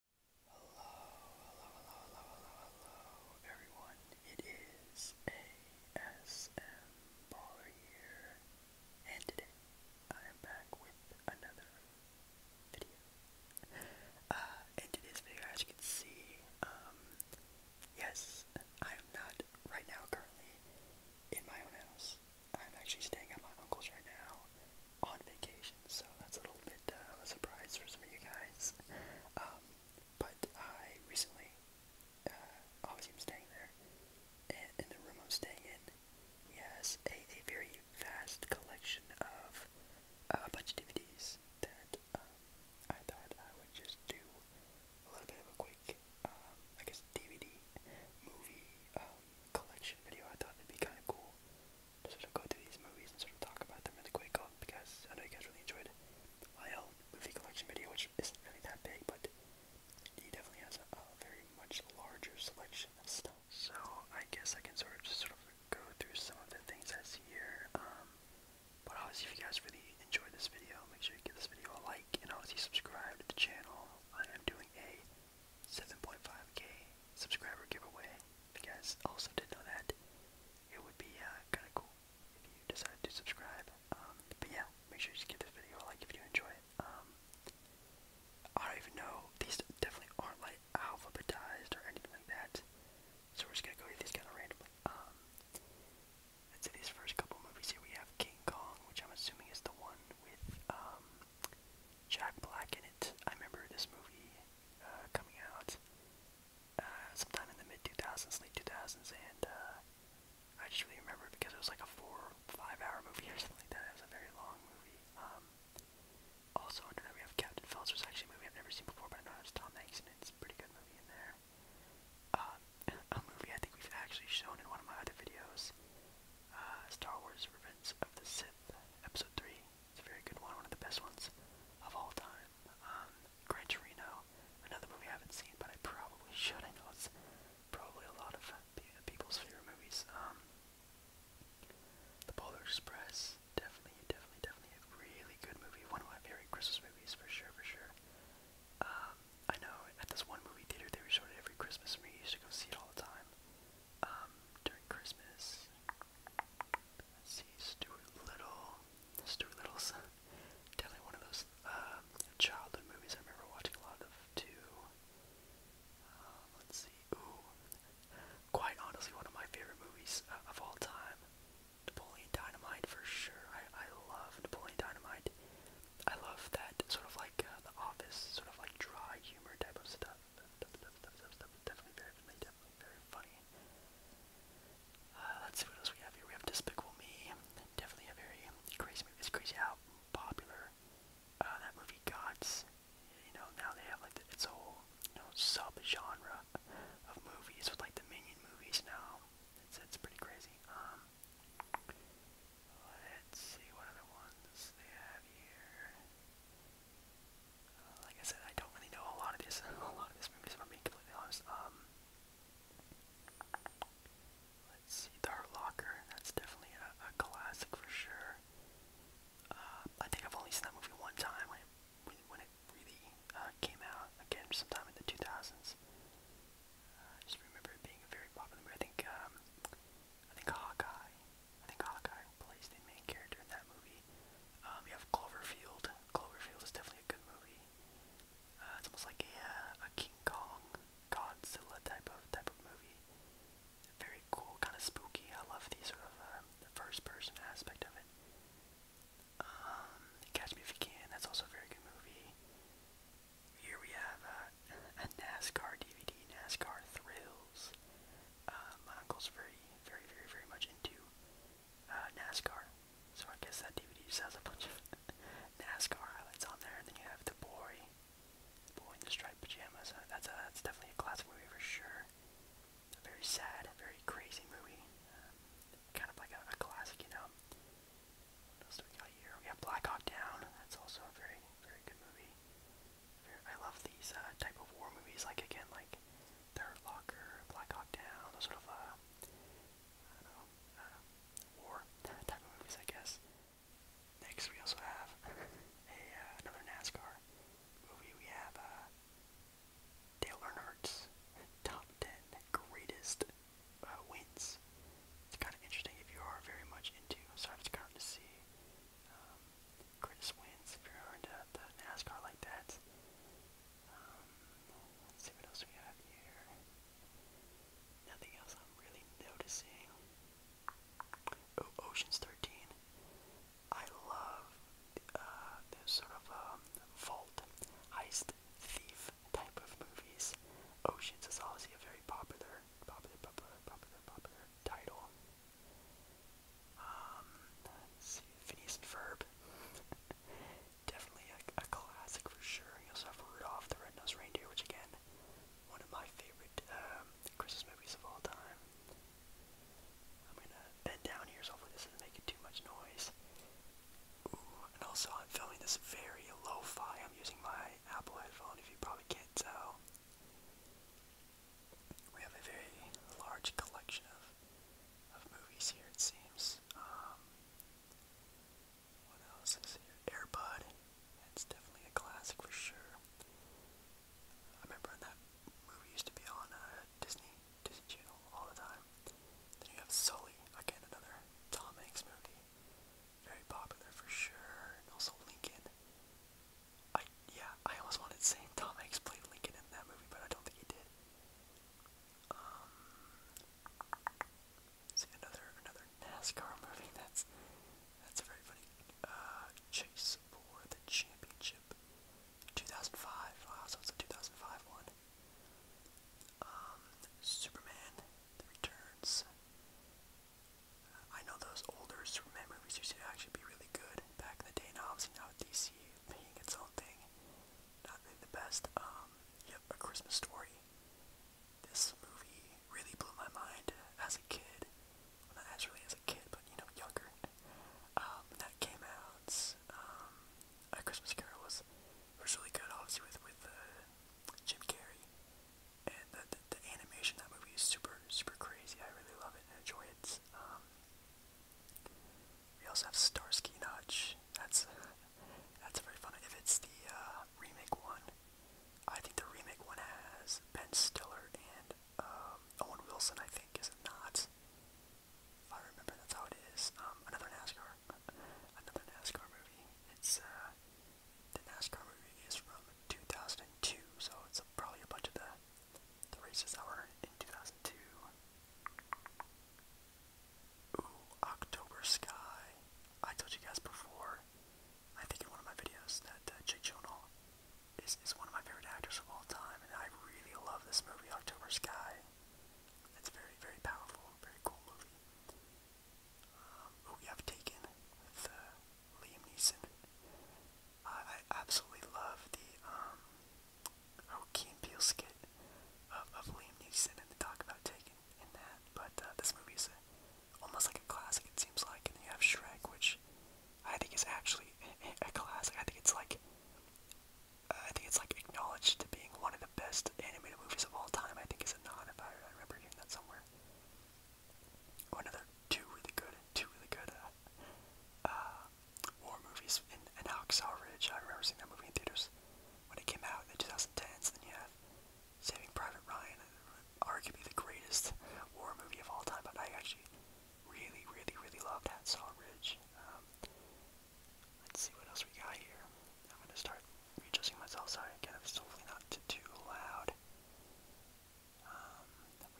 Hello, hello, hello, hello, hello, hello, everyone. It is ASM Baller here, and today I am back with another video. Uh, in today's video, as you can see, um, yes, I'm not right now currently in my own house. I'm actually staying at my uncle's right now on vacation, so that's a little bit uh, of a surprise for some of you guys. Um, but I recently, uh, obviously I'm staying there, and in the room I'm staying in, he has a, a very vast collection of uh, a bunch of DVDs that um, I thought I would just do a little bit of a quick, um, I guess, DVD movie um, collection video. I thought it'd be kind of cool to sort of go through these movies and sort of talk about them really quick on uh, because I know you guys really enjoyed my own movie collection video, which isn't really that big, but he definitely has a, a very much larger selection of stuff. So I guess I can sort of just sort of go through some of the things I see here. Um, but obviously, if you guys really enjoyed this video, make sure you give this video a like and obviously subscribe to the channel. I am doing a 7.5k subscriber giveaway. If you guys also did know that, it would be uh, kind of cool if you decided to subscribe. Um, but yeah, make sure you give this video a like if you enjoy it. Um, I don't even know. These definitely aren't like alphabetized or anything like that. So we're just gonna go with these kind of randomly. Um, let's see these first couple movies here. We have King Kong, which I'm assuming is the one with Jack Black in it. I remember this movie uh, coming out uh, sometime in the mid 2000s, late 2000s, and uh, I just really remember it because it was like a four, five-hour movie or something like that. It was a very long movie. Um, also, under that we have Captain Phelps, which is actually a movie I've never seen before, but I know it's Tom Hanks, in it. it's a pretty good movie in there. Um, a movie I think we've actually shown in one of my other videos. Uh, Star Wars Revenge of the Sith, Episode 3. It's a very good one, one of the best ones of all time. Um, Gran another movie I haven't seen, but I probably should. I know it's probably a lot of people's favorite movies. Um, the Polar Express, definitely, definitely, definitely a really good movie. One of my favorite Christmas movies, for sure, for sure. Um, I know at this one movie theater they were it every Christmas, and we used go see it all the time um, during Christmas. see, Stuart Little. Stuart Little's definitely one of those um, childhood movies I remember watching a lot of too. Um, let's see, ooh, quite honestly, one of my favorite movies uh, of all time. Napoleon Dynamite for sure. I, I love Napoleon Dynamite. I love that sort of like uh, the office, sort of like dry humor type of stuff. Stuff, stuff, stuff, stuff, stuff. Definitely very funny, definitely very funny. Uh, let's see what else we have here. We have Despicable Me. Definitely a very crazy movie. It's crazy how popular uh, that movie got. You know, now they have like the, its whole you know sub-genre of movies with like the Minion movies now. It's it's pretty crazy. Um, Let's see what other ones they have here. Uh, like I said, I don't really know a lot of this. a lot of this movies, I'm completely honest. Um, let's see, The Hurt Locker. That's definitely a, classic for sure. Uh, I think I've only seen that movie one time when when it really uh, came out. Again, sometime in the 2000s. I just remember it being very popular I think um, I think Hawkeye. I think Hawkeye plays the main character in that movie. Um, you have Cloverfield. Cloverfield is definitely a good movie. Uh, it's almost like a, uh, a King Kong, Godzilla type of type of movie. Very cool, kind of spooky. I love the sort of uh, the first person aspect of it. Um, Catch Me If You Can. That's also a very good movie. Here we have uh, a NASCAR DVD, NASCAR Thrills. Uh, my uncle's very, very, very, very much into uh, NASCAR, so I guess that DVD just has a bunch of NASCAR highlights on there. And then you have the boy, the boy in the striped pajamas. Uh, that's a, that's definitely a classic movie for sure. A very sad, very crazy movie, um, kind of like a, a classic, you know. What else do we got here? We got Black Hawk Down. That's also a very, very good movie. I love these uh, type of war movies. Like again, like Third Locker, Black Hawk Down, those sort of uh, uh, war type of movies, I guess. Next, we also have a another NASCAR movie. We have uh, Dale Earnhardt's top ten greatest uh, wins. It's kind of interesting if you are very much into. So it's kind of see um, Chris wins if you're into the NASCAR like that. Um, let's see what else we have here. Nothing else I'm really noticing. Oh, Ocean's 13. I love uh, sort of um, vault heist thief type of movies. Oceans is also a very popular, popular, popular, popular, popular title. Um, Phineas and Ferb. Definitely a, classic for sure. You Rudolph the Red-Nosed Reindeer, which again, one of my favorite um, Christmas movies of all time. I'm gonna bend down here, so hopefully this doesn't make too much noise and also I'm filming this very lo-fi. I'm using my Apple headphone if you probably can't tell. We have a very large collection of of movies here it seems. Um, what else is here? Airbud. It's definitely a classic for sure. I remember that movie used to be on uh, Disney Disney Channel all the time. Then you have Sully, again another Tom Hanks movie. Very popular for sure. And also Lincoln. I yeah, I almost wanted St. Tom Hanks play Lincoln in that movie, but I don't think he did. Um, see another another NASCAR movie that's that's very funny uh, Chase for the Championship. 2005, wow, so it's a 2005 one. Um, Superman Returns. Uh, I know those older Superman movies used to actually be really good back in the day, and obviously now DC being its own thing, not really the best. Um, yep, A Christmas Story. This movie really blew my mind as a kid. not as as a kid, but you know, younger. Um, that came out. A Christmas Carol was it was really good, obviously, with with uh, Jim Carrey. And the, the the animation that movie is super super crazy. I really love it and enjoy it. Um, we also have Starsky Notch. That's that's very fun. If it's the uh, remake one, I think the remake one has Ben Stiller and um, Owen Wilson. I think is it not? If I remember, that's how it is. Um, another NASCAR another NASCAR movie. It's uh, the NASCAR movie is from 2002, so it's probably a bunch of the races that were in 2002. Ooh, October Sky. I told you guys before. I think in one of my videos that uh, Jake Gyllenhaal is is one of my favorite actors of all time, and I really love this movie, October Sky. It's very, very powerful, very cool movie. Um, oh, we have Taken with uh, Liam Neeson. Uh, I absolutely love the um, oh, Key and Peele skit of, of Liam Neeson and the talk about Taken in that. But uh, this movie is a, almost like a classic, it seems like. And then you have Shrek, which I think is actually a, a classic. I think it's like uh, I think it's like acknowledged to being one of the best animated movies of all time. I think it's a nod if I, I remember hearing that somewhere. One oh, of the two really good, two really good uh, uh, war movies in, in Hacksaw Ridge. I remember seeing that movie in theaters when it came out in the 2010s. Then you have Saving Private Ryan, arguably the greatest war movie of all time. But I actually really, really, really loved Hacksaw Ridge. Um, Let's see what else we got here. I'm gonna start adjusting myself. Sorry again, it's hopefully not too, loud. Um,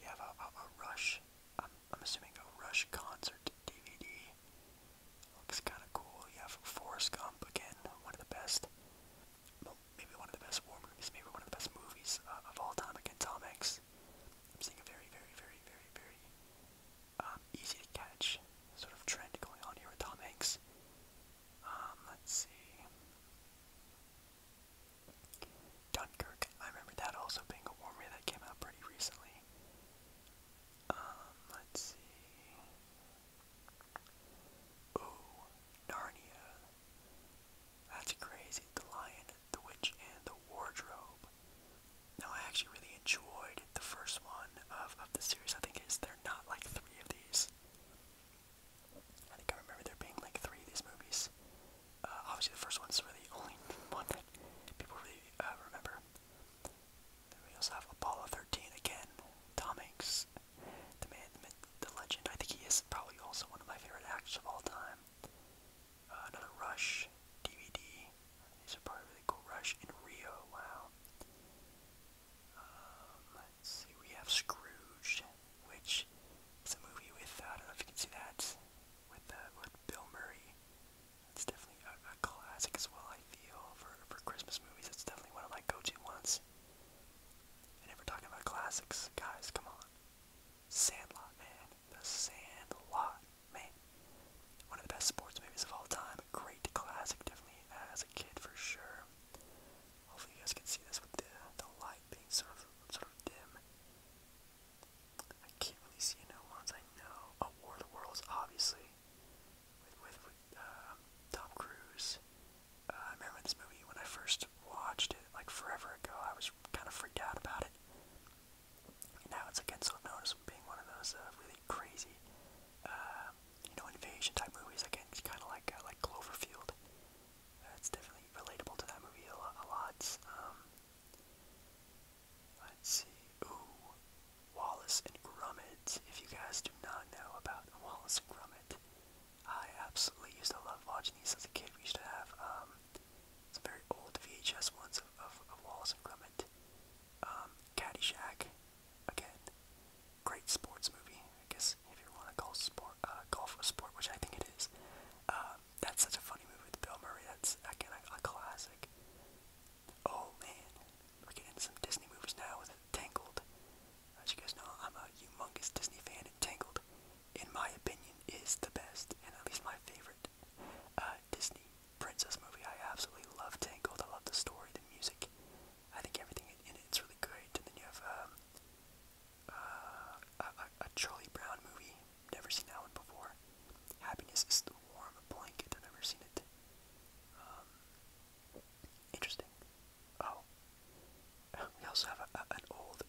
we have a, a, Rush. I'm, I'm assuming a Rush concert DVD. Looks kind of cool. You have Forrest Gump again, one of the best. maybe one of the best war movies, maybe one of the best movies uh, of all time. Again, Tom Hanks. I'm seeing a very, very, very, very, very um, easy to catch sort of trend going on here with Tom Hanks. Um, let's see. Dunkirk. I remember that also being a war movie that came out pretty recently. Um, let's see. Ooh, Narnia. That's crazy. The Lion, the Witch, and the Wardrobe. Now I actually really enjoyed the first one of, of the series. I think is there not like three of these. I think I remember there being like three of these movies. Uh, obviously the first one's really the only one that people really uh, remember. Then we also have Apollo 13 again. Tom Hanks, the man, the, myth, the legend. I think he is probably also one of my favorite actors of all time. Uh, another Rush DVD. These are probably really cool. Rush in Rio. Wow. Um, let's see. We have Scrooge, which is a movie with uh, I don't know if you can see that with uh, with Bill Murray. It's definitely a, a classic as well. I feel for for Christmas movies, it's definitely one of my go-to ones. And if we're talking about classics, guys, come on. Sandlot, man. The Sandlot. Man, one of the best sports movies of all time. A great classic, definitely as a kid for sure. Hopefully you guys can see this with the, the light being sort of sort of dim. I can't really see any ones I know. Oh, War of the Worlds, obviously, with with, with uh, Tom Cruise. Uh, I remember this movie when I first watched it, like forever ago. I was kind of freaked out about it. Now it's again sort of known as being one of those uh, really crazy, uh, you know, invasion type movies. Again, it's kind of like uh, like Cloverfield. Uh, it's definitely relatable to that movie a, lo a lot. Um, let's see. Ooh, Wallace and Gromit. If you guys do not know about Wallace and Gromit, I absolutely used to love watching these as a kid. We used to have um, some very old VHS ones of of, of Wallace and Clement. Um, Caddyshack, again, great sports movie. I guess if you want to call sport uh, golf a sport, which I think it is. Uh, that's such a funny movie with Bill Murray. That's again a, a classic. Oh man, we're getting into some Disney movies now with Tangled. As you guys know, I'm a humongous Disney fan, and Tangled in my opinion, is the best, and at least my favorite uh, Disney princess movie. I absolutely love Tangled. I love the story, the music. I think everything in it is really great. And then you have um, uh, a, a Charlie Brown movie. Never seen that one before. Happiness is the warm blanket. I've never seen it. Um, interesting. Oh, we also have an old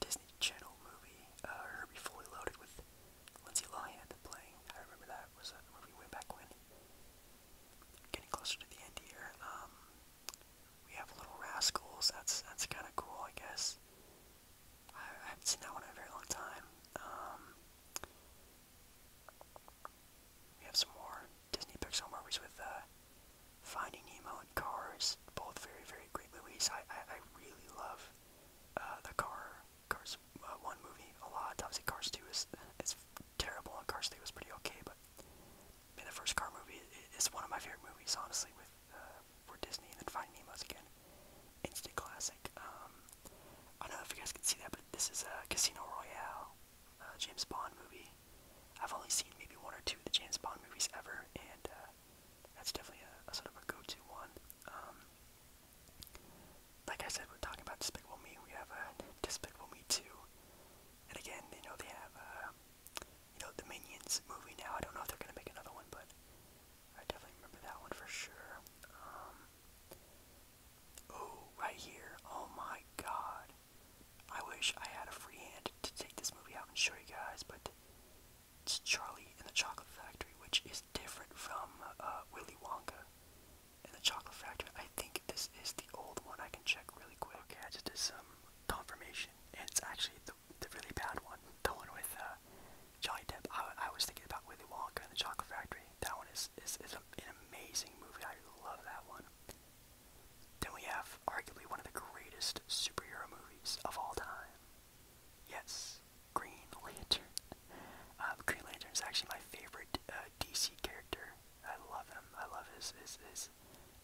Disney Channel movie, uh, Herbie Fully Loaded with Lindsay Lohan playing. I remember that was a movie way back when. Getting closer to the end here. Um, we have Little Rascals. That's that's kind of cool, I guess. I, haven't seen that one in a very long time. Um. we have some more Disney Pixar movies with uh, Finding Nemo and Cars, both very, very great movies. I, I, I really love uh, the Car, Cars uh, 1 movie a lot. Obviously, Cars 2 is, is terrible, and Cars 3 was pretty okay, but in the first Car movie it's one of my favorite movies, honestly, with uh, for Disney, and then Finding Nemo's again. Instant classic. Um, I don't know if you guys can see that, but this is a Casino Royale, uh, James Bond movie. I've only seen maybe one or two of the James Bond movies ever, and that's definitely a, sort of a go-to one. Um, like I said, we're talking about Despicable Me. We have a uh, Despicable Me 2, and again, you know they have, uh, you know, the Minions movie now. I don't know if they're gonna make another one, but I definitely remember that one for sure. Um, oh, right here. Oh my God. I wish I had a free hand to take this movie out and show you guys, but it's Charlie in the Chocolate Factory, which is different from uh, Willy Wonka in the Chocolate Factory. I think this is the old one. I can check really quick. Okay, I just did some confirmation, and it's actually the, the really bad one, the one with uh, Johnny Depp. I, I was thinking about Willy Wonka and the Chocolate Factory. That one is is, is an amazing movie. I love that one. Then we have arguably one of the greatest superhero movies of all time. Yes, Green Lantern. Um, Green Lantern is actually my favorite uh, DC character. I love him. I love his his, his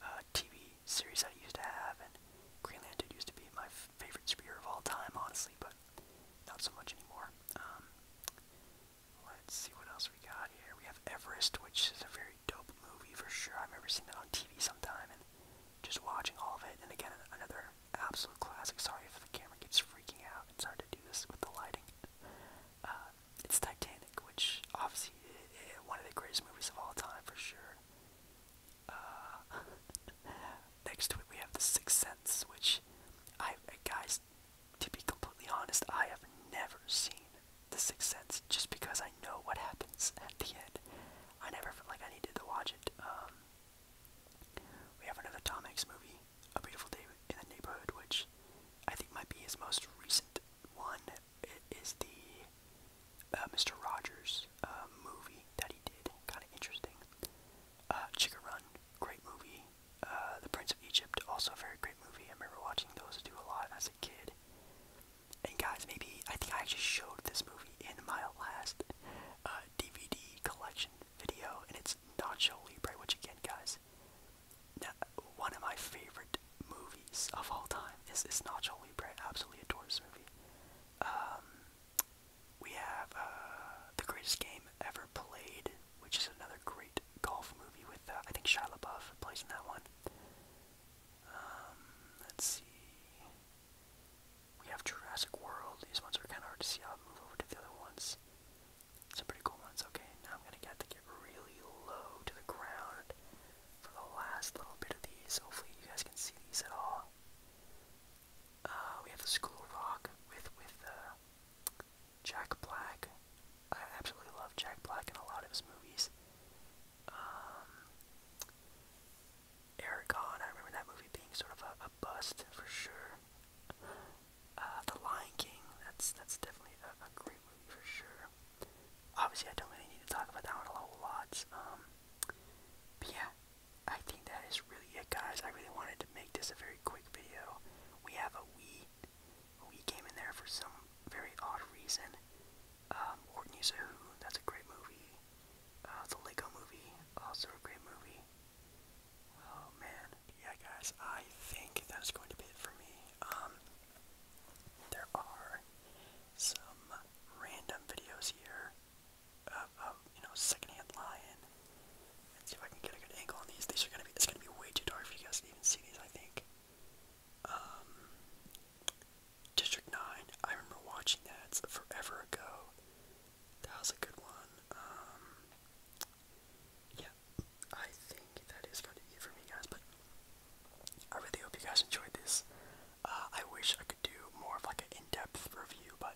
uh, TV series I used to have, and Green Lantern used to be my favorite superhero of all time, honestly, but not so much anymore. Um, let's see what else we got here. We have Everest, which is a very dope movie for sure. I remember seeing it on TV sometime and just watching all of it. And again, another absolute classic. Sorry if the camera keeps freaking out. It's hard to do this with the lighting. Uh, it's Titanic, which obviously is one of the greatest movies of all time for sure. Uh, next to it, we have The Sixth Sense, which I, guys, to be completely honest, I have never seen. The Sixth Sense just because I know what happens at the end. I never felt like I needed to watch it. Um, we have another Tom Hanks movie, A Beautiful Day in the Neighborhood, which I think might be his most recent one. It is the uh, Mr. Rogers um, movie that he did. Kind of interesting. Uh, Chicken Run, great movie. Uh, the Prince of Egypt, also a very great movie. I remember watching those do a lot as a kid. And guys, maybe I think I actually showed this movie in my last DVD uh, collection video, and it's Nacho Libre, which again, guys, now, one of my favorite movies of all time is, is Nacho Libre. absolutely adore this movie. Um, we have uh, The Greatest Game Ever Played, which is another great golf movie with, uh, I think Shia LaBeouf plays in that one. Um, let's see. We have Jurassic World. These ones are kind of hard to see. I'll move over to the other ones. Some pretty cool ones. Okay, now I'm gonna get to get really low to the ground for the last little bit of these. Hopefully, you guys can see these at all. Uh, we have the School Rock with with uh, Jack Black. I absolutely love Jack Black and a lot of his movies. Um, I remember that movie being sort of a, bust for sure. Uh, the Lion King, that's that's definitely a, great movie for sure. Obviously, I don't really need to talk about that one a lot. Um, but yeah, I think that is really it, guys. I really wanted to make this a very quick video. We have a Wii we came in there for some very odd reason. Um, Horton You Who, that's a great movie. Uh, the Lego movie, also a great movie. Oh man. Yeah guys, I think that's going to be it for me. Um, there are some random videos here of, you know, secondhand lion. see if I can get a good angle on these. These are gonna be it's gonna be way too dark for you guys to even see these, I think. Um, District 9. I remember watching that forever ago. That was a good one. Um, yeah, I think that is going to be it for me, guys. But I really hope you guys enjoyed this. Uh, I wish I could do more of like an in-depth review, but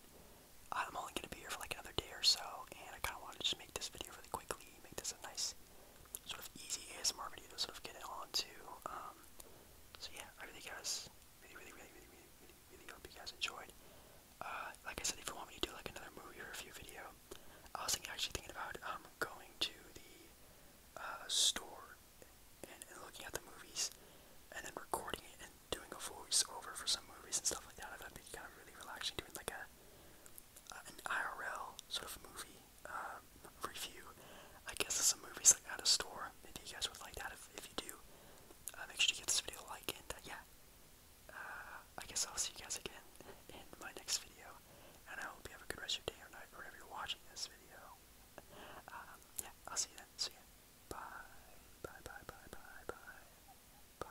I'm only going to be here for like another day or so, and I kind of want to just make this video really quickly, make this a nice sort of easy ASMR video to sort of get it onto. Um, so yeah, I really guys really, really, really, really, really, really, really hope you guys enjoyed. Uh, like I said, if you want me to do like another movie review video, I was thinking, actually thinking about um going to the uh, store and, and looking at the movies, and then recording it and doing a voiceover for some movies and stuff like that. I thought it'd be kind of really relaxing doing like a an IRL sort of movie um, review. I guess it's a movie like out of store. Maybe you guys would like that. If, you do, uh, make sure to give this video a like. And uh, yeah, uh, I guess I'll see you guys again in my next video. And I hope you have a good rest of your day or night, or whatever you're watching this video. Um, yeah, I'll see you then. See ya. Bye. Bye. Bye. Bye. Bye. Bye. Bye.